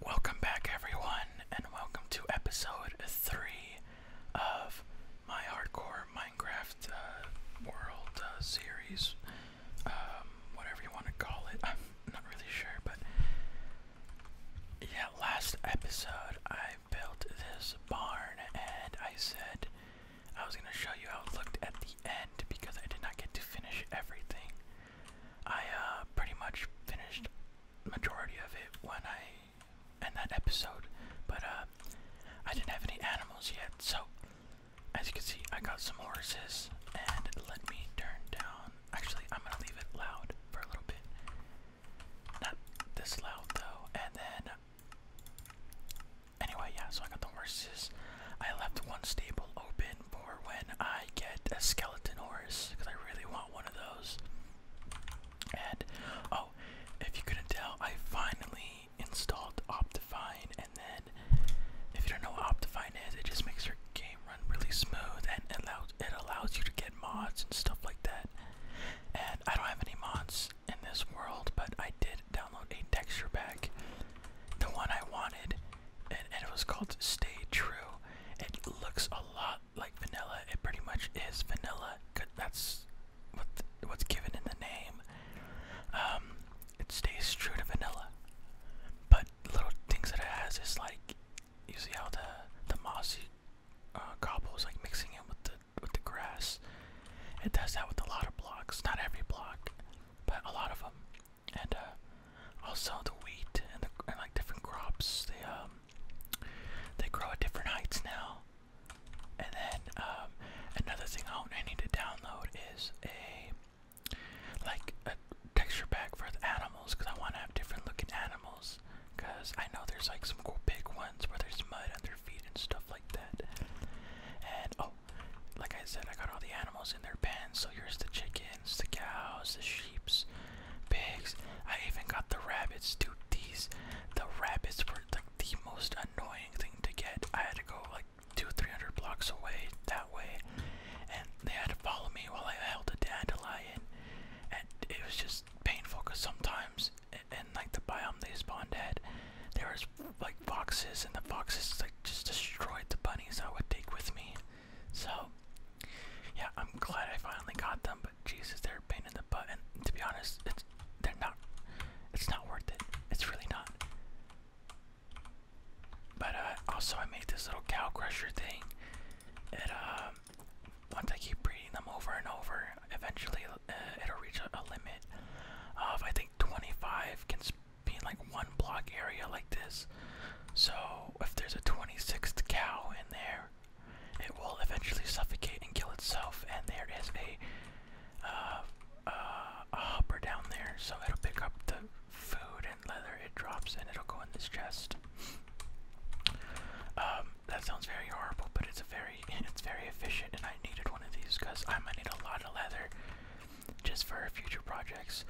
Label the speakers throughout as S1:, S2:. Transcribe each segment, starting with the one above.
S1: Welcome back, everyone, and welcome to episode three of my hardcore Minecraft uh, world uh, series, um, whatever you want to call it. I'm not really sure, but yeah, last episode I built this barn, and I said I was gonna show you how it looked at the end because I did not get to finish everything. I uh, pretty much finished majority of it when I end that episode, but uh, I didn't have any animals yet, so as you can see, I got some horses, and let me turn down. Actually, I'm gonna leave it loud for a little bit. Not this loud though, and then. Anyway, yeah, so I got the horses. I left one stable open for when I get a skeleton horse because I really want one of those. And oh, if you couldn't tell, I finally installed Optifine, and then if you don't know what Optifine is, it just makes your game run really smooth and allows it allows you to get mods and stuff like that. And I don't have any mods in this world, but I did download a texture pack, the one I wanted and, it was called Stay True. It looks a lot like vanilla. It pretty much is vanilla. That's what's given in the name. Um, it stays true to vanilla. But little things that it has is like you see how the the mossy uh, cobble is like mixing in with the with the grass. It does that with a lot of blocks. Not every block, but a lot of them and uh, also the wheat and, the, like different crops. They um, they grow at different heights now. And then um, another thing I, I need to download is a like a texture pack for the animals because I want to have different looking animals. Because I know there's like some cool big ones where there's mud on their feet and stuff like that. And oh, like I said, I got all the animals in their pens. So here's the chicken, the cows, the sheeps, pigs. I even got the rabbits, dude. These, the rabbits were like the most annoying thing to get. I had to go like two, three hundred blocks away that way, and they had to follow me while I held a dandelion, and it was just painful because sometimes in like the biome they spawned at, there was like foxes, and the foxes like just destroyed the bunnies I would take with me. So, yeah, I'm glad I finally got them, but Jesus, they're a pain in the butt. And to be honest, it's they're not. It's not worth it. It's really not. But uh, also, I made this little cow crusher thing. And um, once I keep breeding them over and over, eventually uh, it'll reach a, a limit of I think 25 can be in like one block area like this. So if there's a 26th cow in there, it will eventually suffocate and kill itself. And there is uh, uh, a, hopper down there, so it'll pick up the food and leather it drops, and it'll go in this chest. Um, that sounds very horrible, but it's very it's very efficient, and I needed one of these because I might need a lot of leather just for future projects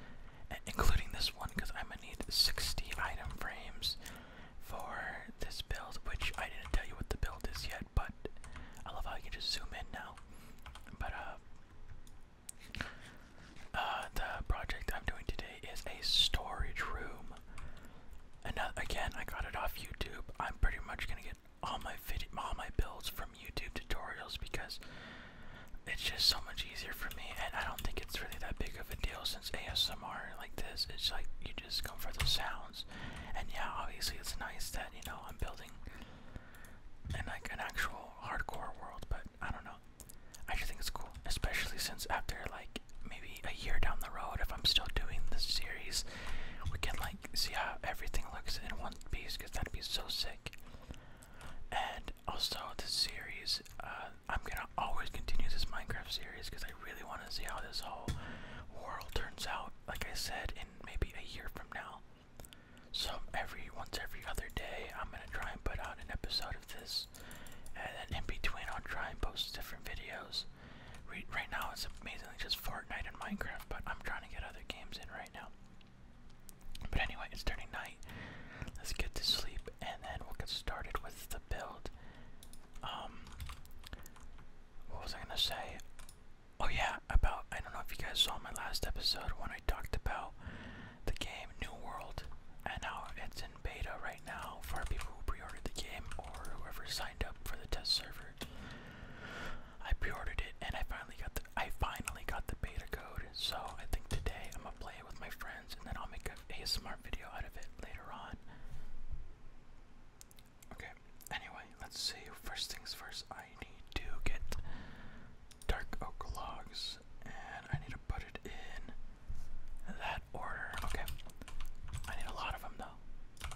S1: including this one because I'm gonna need 60 item frames for this build, which I didn't tell you what the build is yet, but I love how you can just zoom in now. But uh, uh, the project I'm doing today is a storage room. And uh, again, I got it off YouTube. I'm pretty much gonna get all my video, all my builds from YouTube tutorials because it's just so much easier for me, and I don't think it's really that big of a deal since ASMR like this, it's like you just go for the sounds, and yeah, obviously it's nice that you know I'm building and like an actual hardcore world, but I don't know, I just think it's cool, especially since after like maybe a year down the road, if I'm still doing this series, we can like see how everything looks in one piece, because that'd be so sick. And also this series, uh, I'm gonna always continue this Minecraft series because I really want to see how this whole world turns out. Like I said, in maybe a year from now. So every once every other day, I'm gonna try and put out an episode of this, and then in between, I'll try and post different videos. right now, it's amazingly just Fortnite and Minecraft, but I'm trying to get other games in right now. But anyway, it's turning night. Let's get to sleep and then we'll get started with the build. Um, what was I gonna say? Oh yeah, about I don't know if you guys saw my last episode when I talked about the game New World and how it's in beta right now for people who pre-ordered the game or whoever signed up for the test server. I pre-ordered it and I finally got the I finally got the beta code, so I think today I'm gonna play with my friends, and then I'll make a ASMR video out of it later on. Okay, anyway, let's see. First things first, I need to get dark oak logs, and I need to put it in that order. Okay, I need a lot of them though.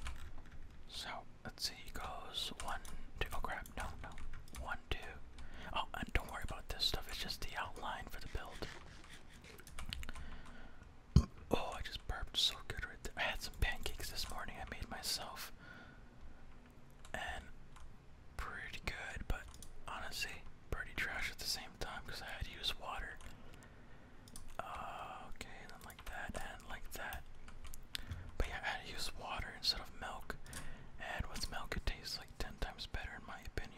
S1: So, let's see, it goes one, two, oh crap, no, no, one, two, Oh, and don't worry about this stuff, it's just the outline for the build. Oh, I just burped so good right there. I had some pancakes this morning I made myself. And pretty good, but honestly, pretty trash at the same time because I had to use water. Uh, okay, then like that and like that. But yeah, I had to use water instead of milk. And with milk, it tastes like 10 times better in my opinion.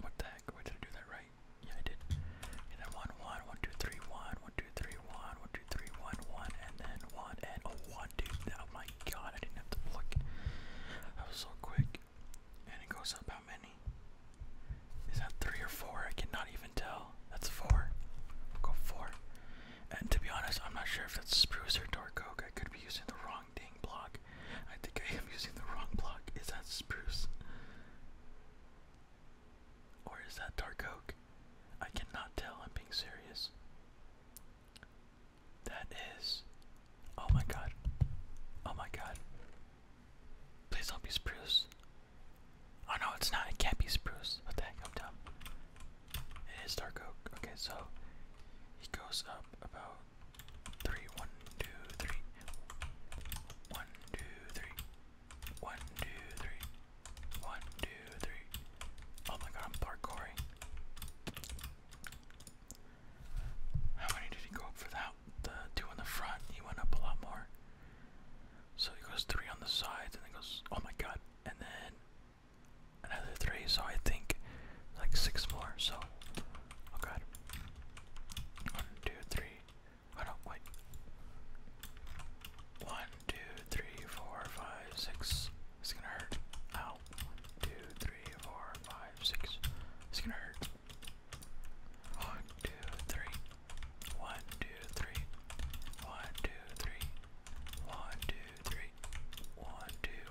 S1: What the heck? did I do that right? Yeah, I did. And then 1, and then 1, and oh, 1, dude. Oh my god, I didn't have to look. That was so quick. And it goes up how many? Is that 3 or 4? I cannot even tell. That's 4. go 4. And to be honest, I'm not sure if that's spruce or dark oak. I could be using the wrong thing block. I think I am using the wrong block. Is that spruce? Or is that dark oak? I cannot tell. I'm being serious. That is. Oh my god. Oh my god. Please don't be spruce. Oh no, it's not. It can't be spruce. What the heck? I'm dumb. It is dark oak. Okay, so he goes up about three, one, two, three, one, two, three, one, two, three, one, two, three. Oh my god, I'm parkouring. How many did he go up for that? The two in the front, he went up a lot more. So he goes three on the sides and then goes, oh my god, and then another three, so I think like six more. So, oh god, one, two, three. Oh no, wait. One, two, three, four, five, six. It's gonna hurt. Ow. One, two, three, four, five, six. It's gonna hurt. One, two, three. One, two, three. One, two, three. One, two, three. One, two,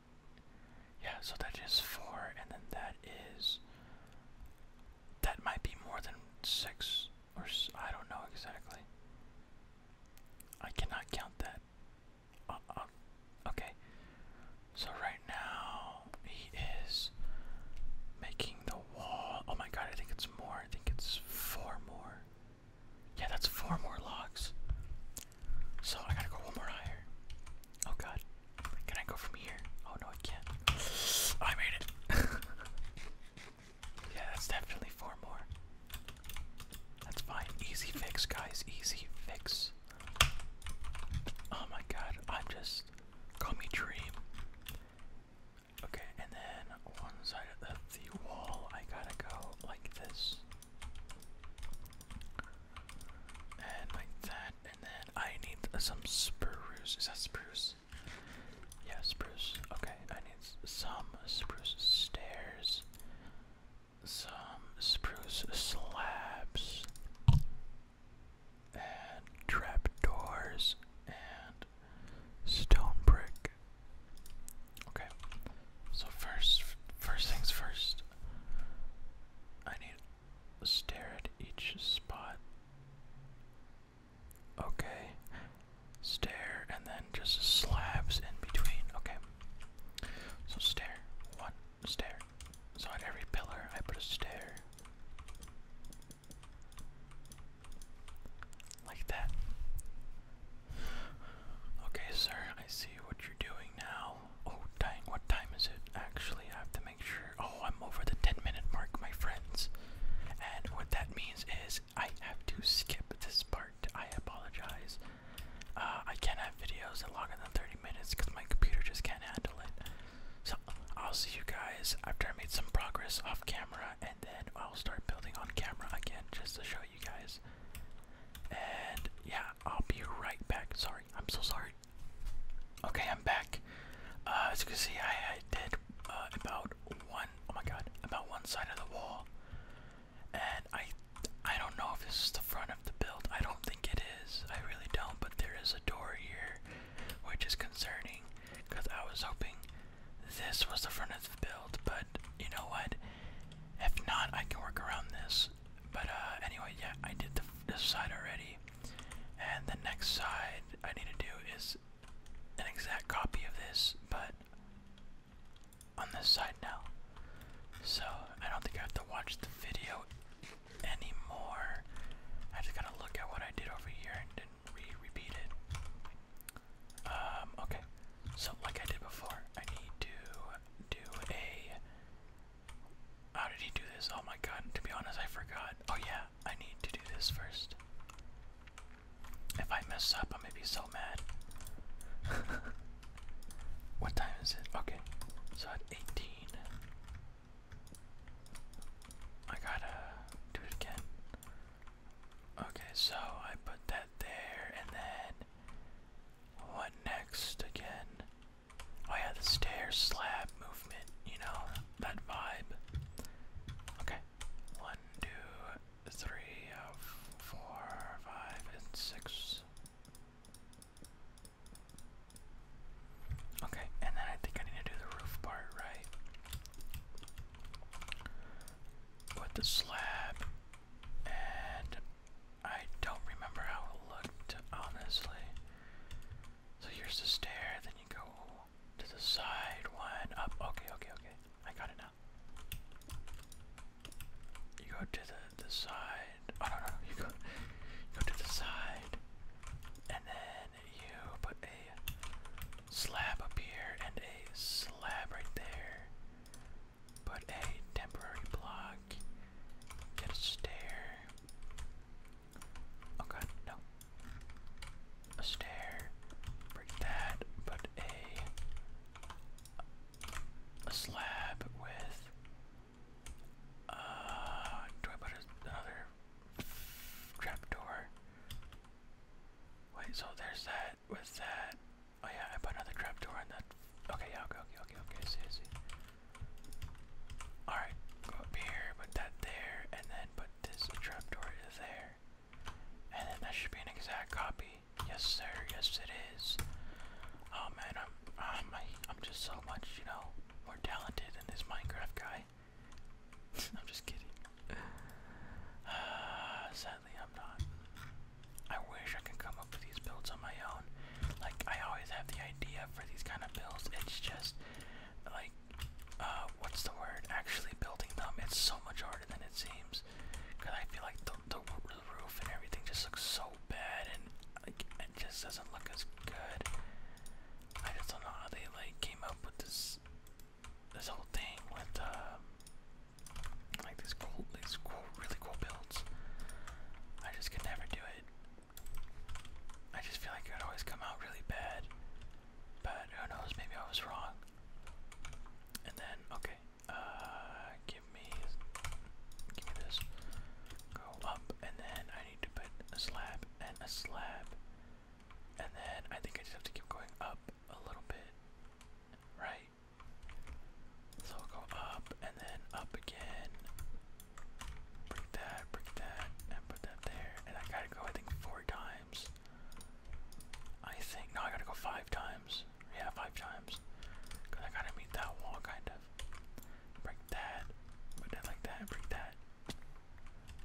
S1: Yeah, so that is four, and then that is. That might be more than six, or s I don't know exactly. I cannot count that. Uh, uh, okay, so right now he is making the wall. Oh my god, I think it's more. I think it's four more. Yeah, that's four more logs. So I gotta go one more higher. Oh god. Can I go from here? Oh no, I can't. I made it. yeah, that's definitely four more. That's fine. Easy fix, guys. Easy fix. Oh my god, I'm just. Call Dream. Okay, and then one side of the wall, I gotta go like this. And like that and then I need some spruce. Is that spruce? Yeah, spruce. Okay, I need some spruce stairs, some spruce slabs, and trapdoors, and stone brick. Okay, so first, first things first. I need Stare at each spot. Okay. Stare and then just slabs in between. Okay. So stare. One stare. So on every pillar I put a stare. Like that. Okay, sir, I see what you're doing now. Oh dang, what time is it? Actually, I have to make sure. Oh, I'm over the 10 minute mark, my friends. And what that means is I have to skip this part. I apologize. Uh, I can't have videos that longer than 30 minutes because my computer just can't handle it. So I'll see you guys after I made some progress off camera and then I'll start building on camera again just to show you guys. And yeah, I'll be right back. Sorry, I'm so sorry Okay, I'm back. Uh, as you can see, I, I did uh, about one, oh my god, about one side of the wall. And I, I don't know if this is the front of the build. I don't think it is. I really don't, but there is a door here, which is concerning, because I was hoping this was the front of the build, but you know what? If not, I can work around this. But uh, anyway, yeah, I did the, this side already, and the next side I need to do is an exact copy of this, but on this side now. So I don't think I have to watch the video anymore. I just gotta look at what I did over here and then re-repeat it. Um, okay. So like I did before, I need to do a how did he do this? Oh my god, to be honest, I forgot. Oh yeah, I need to do this first. If I mess up, I'm gonna be so mad. what time is it? Okay, so at 18. I gotta do it again. Okay, so I put that there, and then what next again? Oh yeah, the stair slab movement, you know, that vibe. Okay. One, two, three, uh, four, five, and six. Okay, and then I think I need to do the roof part right. With the slab and I don't remember how it looked, honestly. So here's the stair, then you go to the side one, up, okay, okay, okay, I got it now. You go to the, the side, oh no, no, you go, you go to the side, and then you put a slab up here and a slab right there. Put a temporary block Get a stair. Oh no. A stair. Break that. Put a a slab with uh do I put a, trap door? Wait, so there's that with that. Oh yeah, I put another trap door in that. Okay, yeah, okay, okay, okay, see, see. Alright, go up here, put that there, and then put this trapdoor to there. And then that should be an exact copy. Yes sir, yes it is. Oh man, I'm I'm um, I'm just so much, you know, more talented than this Minecraft guy. I'm just kidding. Uh, sadly I'm not. I wish I could come up with these builds on my like I always have the idea for these kind of builds. It's just like uh, what's the word? Actually building them. It's so much harder than it seems. Cause I feel like the the roof and everything just looks so bad and it just doesn't look as good. I just don't know how they like came up with this this whole thing with um, like these cool these cool really cool builds. I just can never do it. I just feel like it always come out really bad. But who knows, maybe I was wrong. And then, okay, uh, give me, give this. Go up, and then I need to put a slab and a slab. And then I think I just have to keep going up a little bit, right? So go up, and then up again, Break that, break that, and put that there. And I gotta go, I think, four times. I think, no, I gotta go five times. Yeah, five times. I gotta meet that wall, kind of. Break that, put that like that, break that.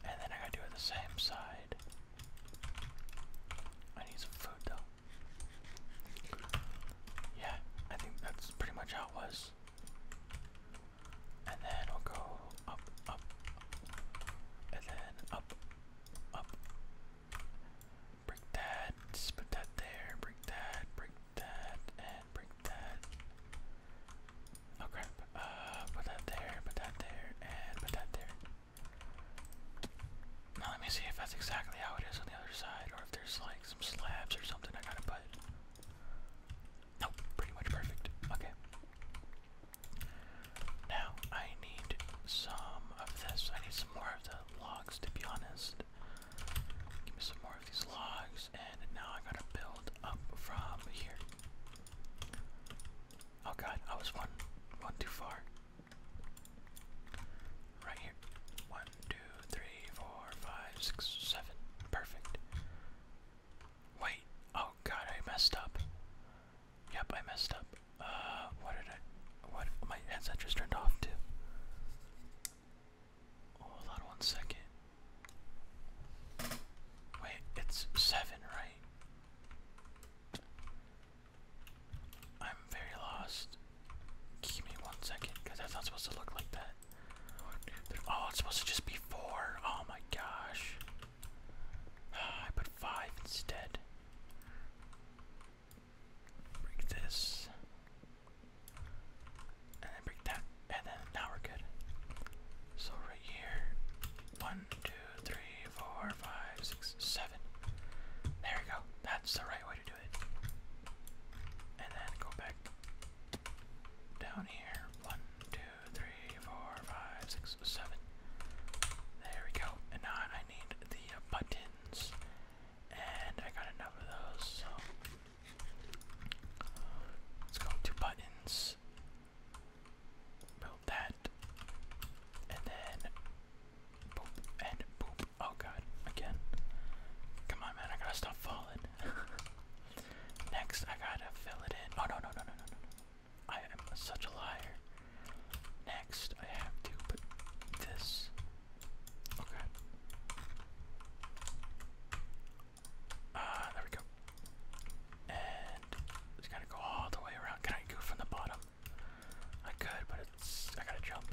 S1: And then I gotta do it the same side. I need some food, though. Yeah, I think that's pretty much how it was. And then we'll go up, up, and then up, up. Break that, put that there, break that, break that, and break that. Oh uh, put that there, put that there, and put that there. Now let me see if that's exactly how it is on the other side, or if there's like some slabs or something I gotta put. Nope, pretty much perfect. Okay. Now I need some of this. I need some more of the logs to be honest. Give me some more of these logs and now I gotta build up from here. Oh god, I was one one too far. Right here. One, two, three, four, five, six, seven. Perfect. Wait. Oh god, I messed up. Yep, I messed up. Uh, what did I. What? My headset just turned off too. Hold on one second. Wait, it's seven, right? I'm very lost. Give me one second, because that's not supposed to look like that. Oh, it's supposed to just be four. Oh my gosh. Ah, I put five instead. Break this. And then break that. And then now we're good. So right here. One, two, three, four, five, six, seven. There we go. That's the right way to do. And then go back down here. One, two, three, four, five, six, seven. There we go. And now I need the uh, buttons. And I got enough of those, so. Let's go to buttons. Build that. And then boop and boop Oh god, again. Come on, man, I gotta stop falling. Next, I gotta fill it in. Oh, no, no, no, no, no, no. I am such a liar. Next, I have to put this. Okay. Oh, ah, there we go. And it's gotta go all the way around. Can I go from the bottom? I could, but it's. I gotta jump.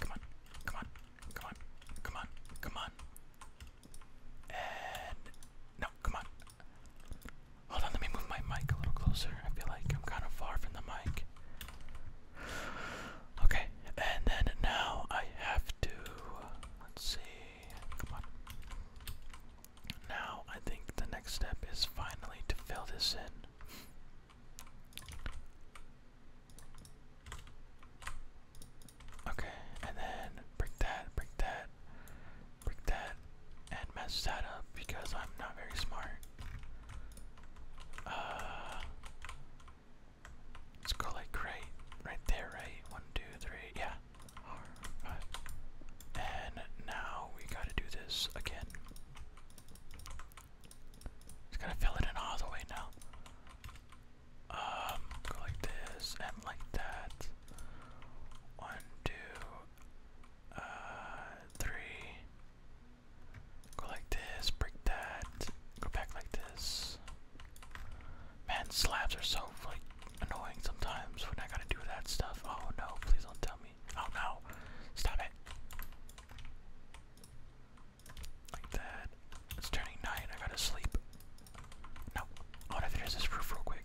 S1: Come on, come on, Come on, come on, come on. And no, come on. Hold on, let me move my mic a little closer. I feel like I'm kind of far from the mic. Okay, and then now I have to. Let's see. Come on. Now I think the next step is finally to fill this in. Okay, and then break that, break that, break that, and mess that up because I'm not very smart. Uh, let's go like right, right there, right? One, two, three, yeah. All right. And now we gotta do this again. Just gotta fill it in all the way now. Um, go like this and like that. One, uh, Go like this, break that, go back like this. Man, slabs are so like annoying sometimes when I gotta do that stuff. Oh no, please don't tell me. Oh no, stop it. Like that. It's turning night. I gotta sleep. No. I wanna this roof real quick.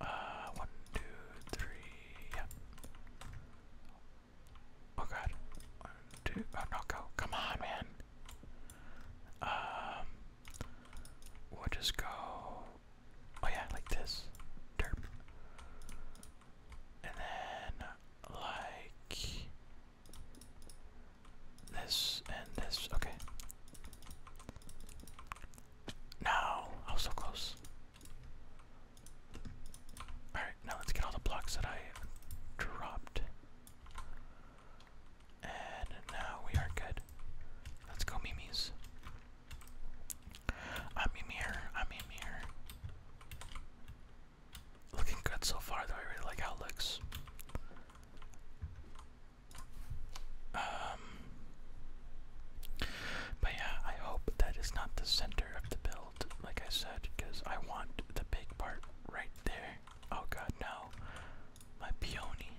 S1: Uh, one, two, three. Yeah. Oh god. One, two. Oh no, go. Come on, man. Um. We'll just go. Oh yeah, like this. Derp. And then like this and this. Okay. No, I was so close. Alright, now let's get all the blocks that I dropped. And now we are good. Let's go, Mimi's. I'm Mimir, I'm Mimir. Looking good so far, though. I really like how it looks. Um, but yeah, I hope that is not the center of the build, like I said, because I want the big part right there. Oh god, no. My peony.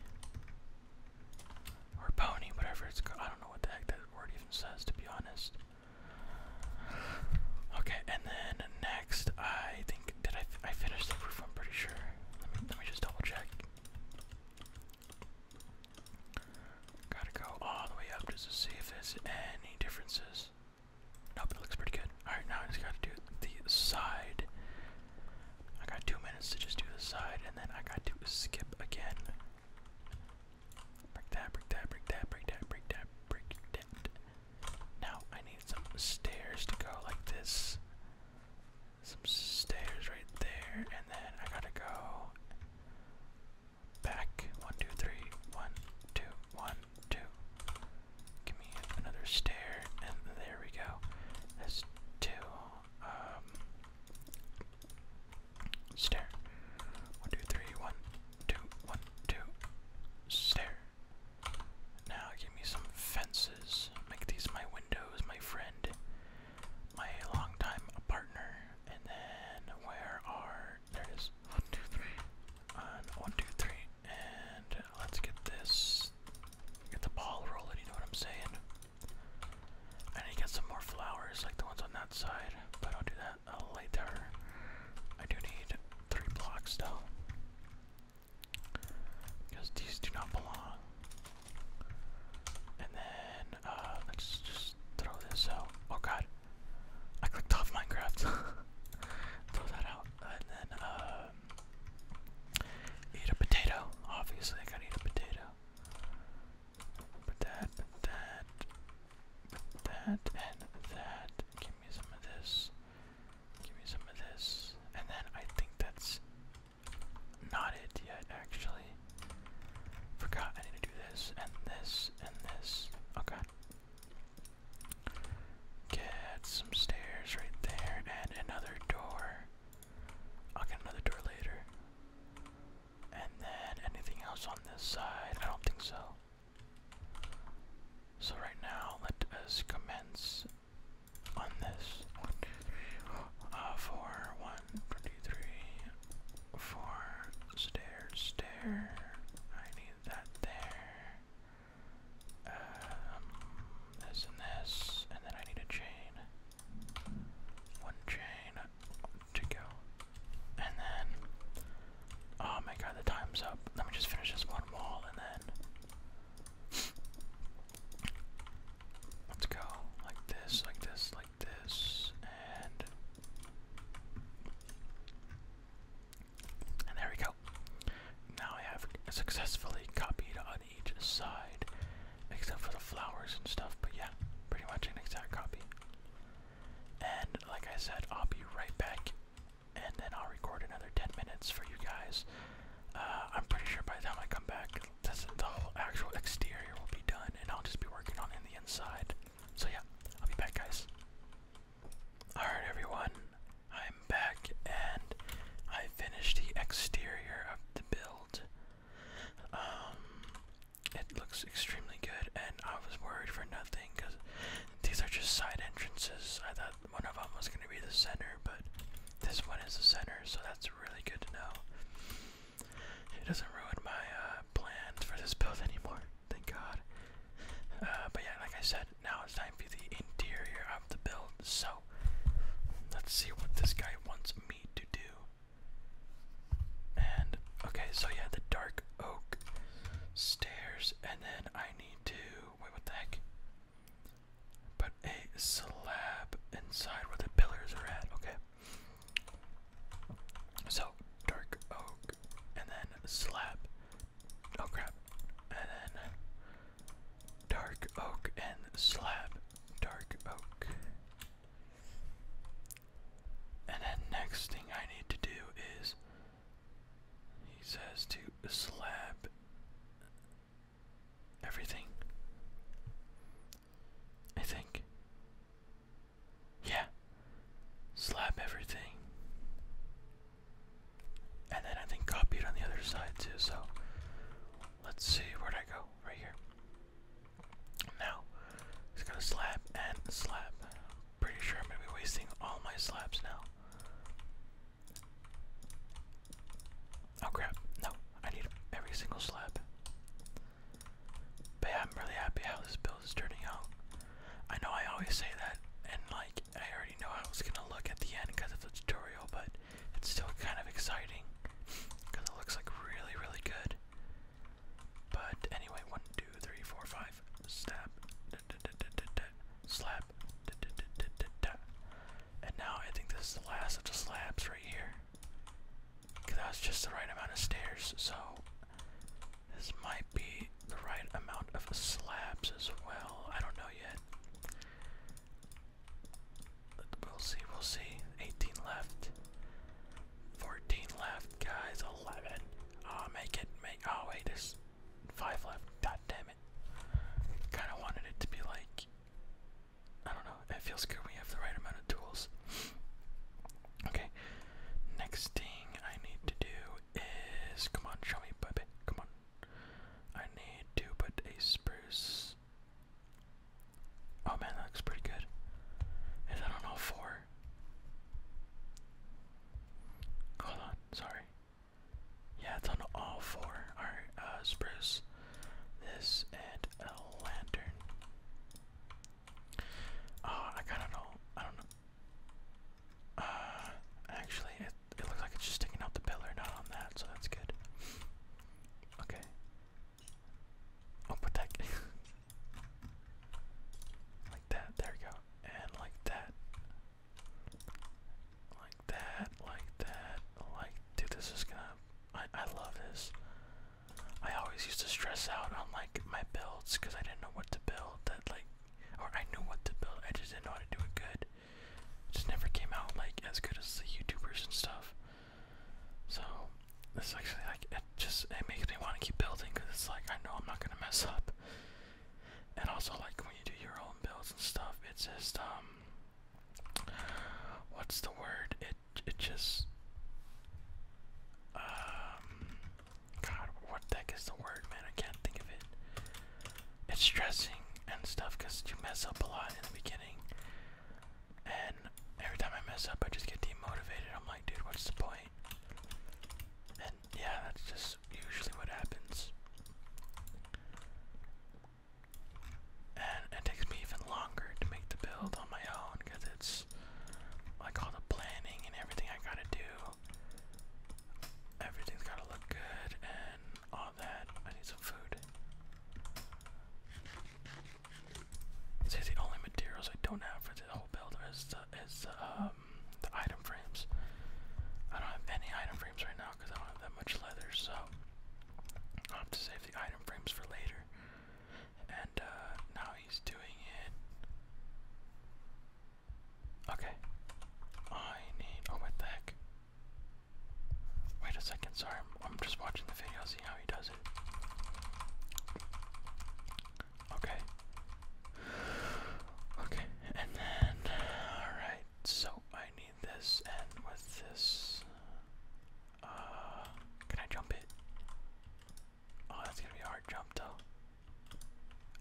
S1: Or pony, whatever it's I don't know what the heck that word even says, to be honest. Okay, and then next, I think did I I finished the roof? I'm pretty sure. Let me let me just double check. Gotta go all the way up just to see if there's any differences. Nope, looks pretty good. Alright, now I just gotta do the side. I got two minutes to just do the side, and then I got to skip again. Break that, break that, break that, break that, break that, break that. Now I need some stairs to go like this. Some stairs right there, and then I gotta go back. One, two, three, one, two, one, two. Give me another stair, and there we go. That's two. Um, Stair. One, two, three, one, two, one, up stair. Now give me some fences. Make these my windows, my friend, my longtime partner. And then where are there One, two, three. one, two, three. And let's get this get the ball rolling, you know what I'm saying? I need get some more flowers like the ones on that side, but I'll do that later. I do need three blocks though. Because these do not belong. And then, uh, let's just throw this out. Oh god. I clicked off Minecraft. throw that out. And then, um, eat a potato. Obviously, I got a potato. Put that, that and that. Give me some of this. Give me some of this. And then I think that's not it yet, actually. Forgot I need to do this and this and this. Okay. Get some stairs right there and another door. I'll get another door later. And then anything else on this side? I don't think so. So right now, let us commence on this. Uh, four, one, two, three, four, stair, stair. I need that there. Um, this and this, and then I need a chain. One chain, to go. And then, oh my god, the time's up. Let me just finish this one wall and then. Let's go. Like this, like this, like this, and. And there we go. Now I have successfully copied on each side, except for the flowers and stuff, but yeah, pretty much an exact copy. And like I said, I'll be right back and then I'll record another 10 minutes for you guys. Uh, I'm pretty sure by the time I come back, this, the whole actual exterior will be done and I'll just be working on in the inside. So yeah, I'll be back, guys. Alright, everyone, I'm back and I finished the exterior of the build. Um, it looks extremely good, and I was worried for nothing because these are just side entrances. I thought one of them was going to be the center, but this one is the center, so that's really good to know. It doesn't ruin my uh, plans for this build anymore, thank God. Uh, but yeah, like I said, now it's time for the interior of the build, so let's see what this guy wants me to do. And okay, so yeah, the dark oak stairs, and then I need to wait. What the heck? Put a slab inside where the pillars are at. Okay. So dark oak, and then slab. Oh crap! And then dark oak and slab. Dark oak. And then next thing I need to do is he says to slap everything. I think. Yeah. slap everything. And then I think copy it on the other side too, so let's see where'd I go? Right here. Now it's gonna slap and slap pretty sure I'm going to be wasting all my slabs now. Oh crap, no, I need every single slab. But I'm really happy how this build is turning out. I know I always say that, and like, I already know how it's gonna look at the end because of the tutorial, but it's still kind of exciting because it looks like really, really good. But anyway, one, two, three, four, five. Snap. Da, And now I think this is the last of the slabs right here. Cause that was just the right amount of stairs, so this might be the right amount of slabs as well. I don't know yet. We'll see, we'll see. 18 left. 14 left, guys. 11. Oh, make it. Make. Oh, wait, this. 5 left. God damn it. Kind of wanted it to be like. I don't know. It feels good We have the right amount of tools. Okay. Next thing I need to do is. Come on, show me, baby. Come on. I need to put a spruce. Oh man, that looks pretty good. Is that all four? Hold on, sorry. Yeah, it's on all four. Alright, uh, spruce, this, and a lantern. Oh, I kinda know. I don't know. Uh, actually, it, looks like it's just sticking out the pillar, not on that, so that's good. Okay. I'll oh, Like that, there we go. And like that. Like that, like that, like dude, this is gonna I I love this. I always used to stress out on like my builds because I didn't know what to build that like or I knew what to build, I just didn't know how to do it good. It just never came out like as good as the YouTubers and stuff. So it's actually like it just it makes me want to keep building because it's like I know I'm not gonna mess up. And also like when you do your own builds and stuff, it's just um, what's the word? It it just um, God, what the heck is the word, man? I can't think of it. It's stressing and stuff because you mess up a lot in the beginning. And every time I mess up, I just get demotivated. I'm like, dude, what's the point? And yeah, that's just usually what happens. And it takes me even longer to make the build on my own because it's like all the planning and everything I gotta do. Everything's gotta look good and all that. I need some food. These the only materials I don't have for the whole build is is um, the item frames. I don't have any item frames right now because I don't have that much leather, so i have to save the item frames for later. And uh, now he's doing it. Okay. I need. Oh, what heck? Wait a second. Sorry, I'm, just watching the video, see how he does it. Okay. Okay, and then, alright, so I need this, and with this, uh, can I jump it? Oh, that's gonna be hard jump, though.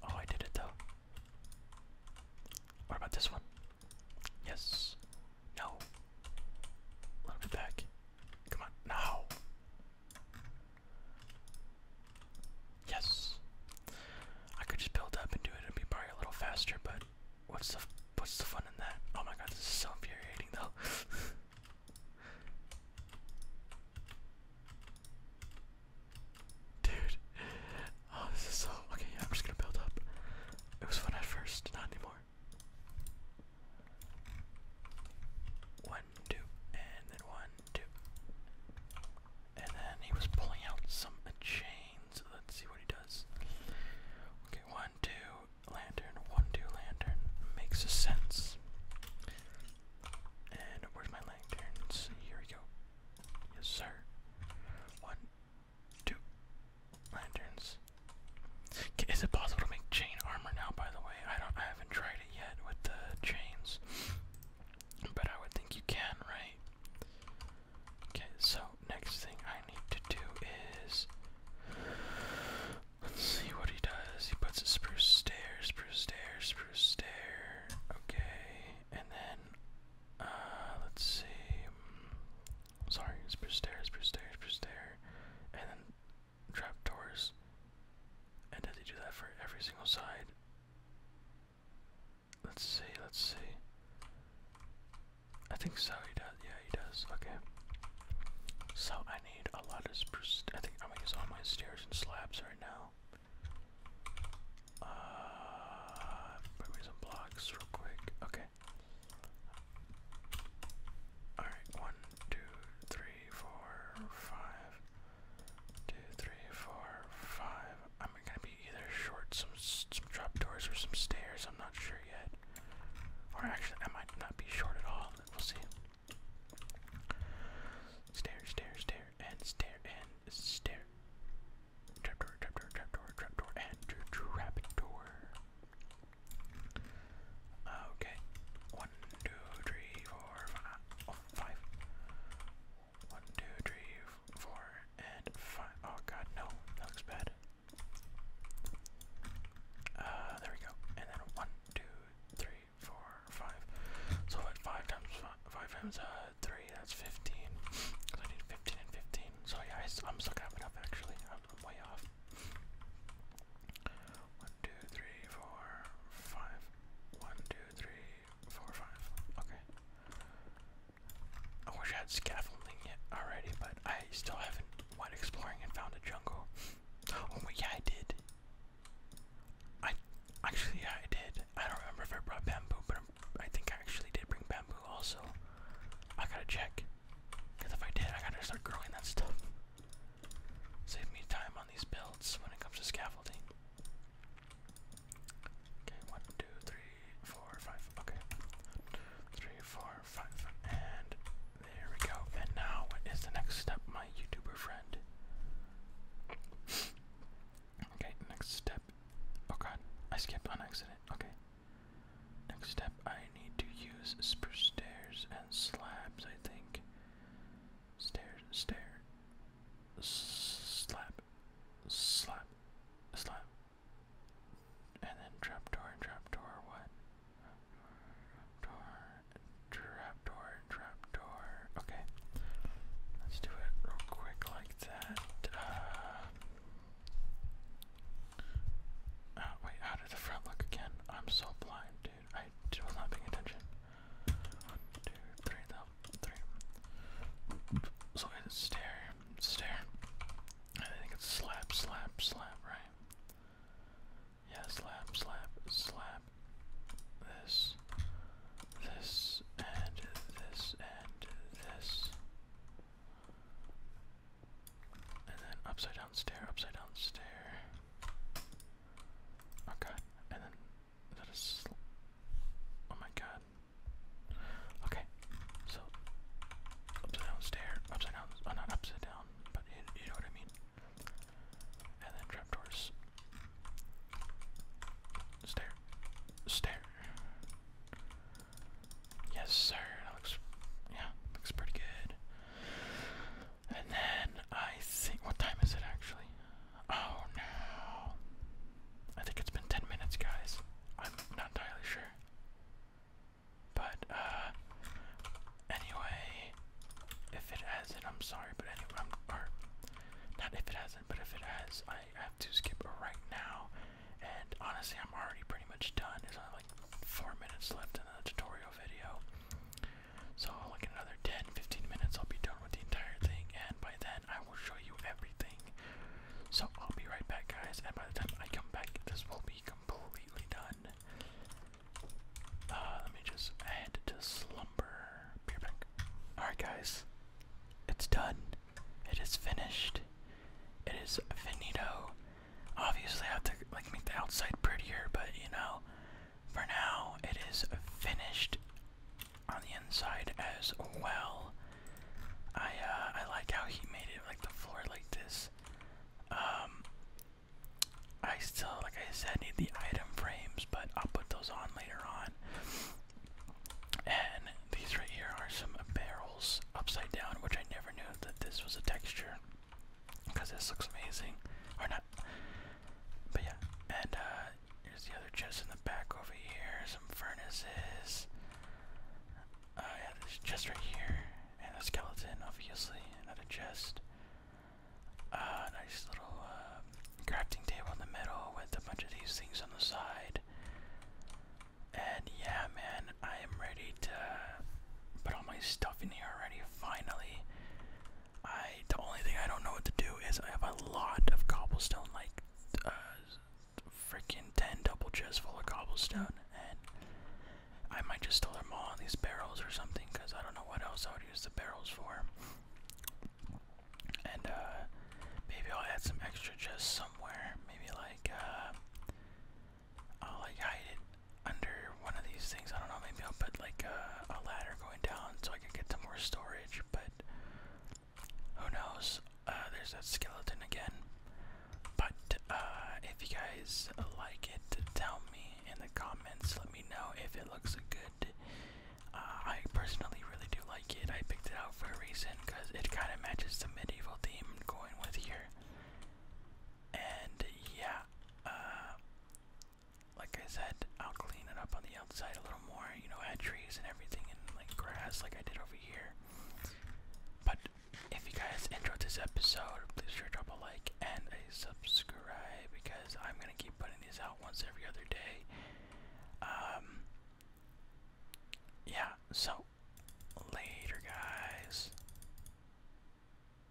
S1: Oh, I did it, though. What about this one? Yes. No. A little bit back. Come on. No. Yes. I could just build up and do it and be probably a little faster, but what's the what's the fun in that? Oh my god, this is so infuriating though. Dude. Oh, this is so okay, I'm just gonna build up. It was fun at first, not anymore. One, two, and then one, two. And then he was pulling out some a let's see what he does. Okay, one, two, lantern, one, two, lantern. Makes a sense. And where's my lanterns? Here we go. Yes, sir. One, two, lanterns. Is it possible to make chain armor now? By the way, I don't. I haven't tried yet with the chains, but I would think you can, right? Okay, so next thing I need to do is. Let's see what he does. He puts a spruce stairs, spruce stairs, spruce stairs. Okay, and then. Uh, let's see. Sorry, spruce stair, spruce stair, spruce stair. And then trapdoors. And did they do that for every single side? Let's see, let's see. I think so, he does. Yeah, he does. Okay. So I need a lot of I think I'm gonna use all my stairs and slabs right now. Uh, put some blocks real quick. Okay. Alright, one, two, three, three, Two, three, four, five. I'm gonna be either short some some trapdoors or some stairs. I'm not sure yet. Or actually, I might not be short at all. We'll see. Stair, stair, stair, and stair, and stair. Trapdoor, trapdoor, trapdoor, trapdoor, and trapdoor. Okay. One, two, three, four, five. Oh, five. One, two, three, four, and five. Oh god, no, that looks bad. Uh, there we go. And then one, two, three, four, five. So five times five, times uh three, that's fifteen. Cause I need fifteen and fifteen. So yeah, I, am still up actually. I'm, way off. One, two, three, four, five. One, two, three, four, five. Okay. I wish I had scaffolding yet already, but I still haven't went exploring and found a jungle. Oh wait, yeah, I did. I actually, yeah, I did. I don't remember if I brought bamboo, but I think I actually did bring bamboo also. I gotta check. Because if I did, I gotta start growing that stuff. Save me time on these builds when it comes to scaffolding. Okay, one, two, three, four, five. Okay. Three, four, five, and there we go. And now what is the next step, my YouTuber friend? okay, next step. Oh god, I skipped on accident. Okay. Next step, I need to use spruce stairs and slabs, I think stare, stare, slap, slap, slap, and then trapdoor, trapdoor, what? Trapdoor, trapdoor, trapdoor. Okay, let's do it real quick like that. Uh, wait, how did the front look again? I'm so blind, dude. I was not paying attention. One, two, three, So it's stare, stare. I think it's slap, slap, slap, right? Yeah, slap, slap, slap. This, this, and this, and this. And then upside down stare, upside down stare. Okay, and then that is. Oh my god. Okay, so upside down stair, upside down, oh not upside down, but you know what I mean. And then trapdoors. Stair, stair. Yes, sir. That looks, yeah, looks pretty good. And then I think. What time is it actually? Oh no. I think it's been 10 minutes, guys. I'm not entirely sure. But, uh, Anyway. If it hasn't, I'm sorry, but anyway. I'm, Not if it hasn't, but if it has, I have to skip right now. And honestly, I'm already pretty much done. There's only like four minutes left in the tutorial video. So, like in another 10 15 minutes, I'll be done with the entire thing, and by then, I will show you everything. So, I'll be right back, guys, and by the time I come back, this will be completely done. Uh, let me just head to slumber. Be right back. Alright, guys, it's done. It is finished. It is finito. Obviously, I have to like make the outside prettier, but you know, for now, it is finished on the inside as well. I uh, I like how he made it like the floor like this. Um, I still, like I said, need the item frames, but I'll put those on later on. And these right here are some barrels upside down, which I never knew that this was a texture because this looks amazing. Or not. But yeah, and uh, the other chest in the back over here. Some furnaces. Uh, yeah, this chest right here, and a skeleton, obviously. Another chest. Uh, nice little uh, crafting table in the middle with a bunch of these things on the side. And yeah, man, I am ready to put all my stuff in here already. Finally, I the only thing I don't know what to do is I have a lot of cobblestone, like uh, freaking ten double chests full of cobblestone, and I might just store them all in these barrels or something, cause I don't know what else I would use the barrels for. And uh, maybe I'll add some extra chests somewhere. Maybe like uh, I'll like hide it under one of these things. I don't know, maybe I'll put like a, ladder going down so I can get some more storage, but who knows? Uh, there's that skeleton again. But uh, if you guys like it, tell me in the comments. Let me know if it looks good. Uh, I personally really do like it. I picked it out for a reason because it kind of matches the medieval theme going with here. And yeah, like I said, I'll clean it up on the outside a little more, you know, add trees and everything and like grass like I did over here. But if you guys enjoyed this episode, please sure drop a like and a subscribe because I'm gonna keep putting these out once every other day. Um Yeah, so later guys.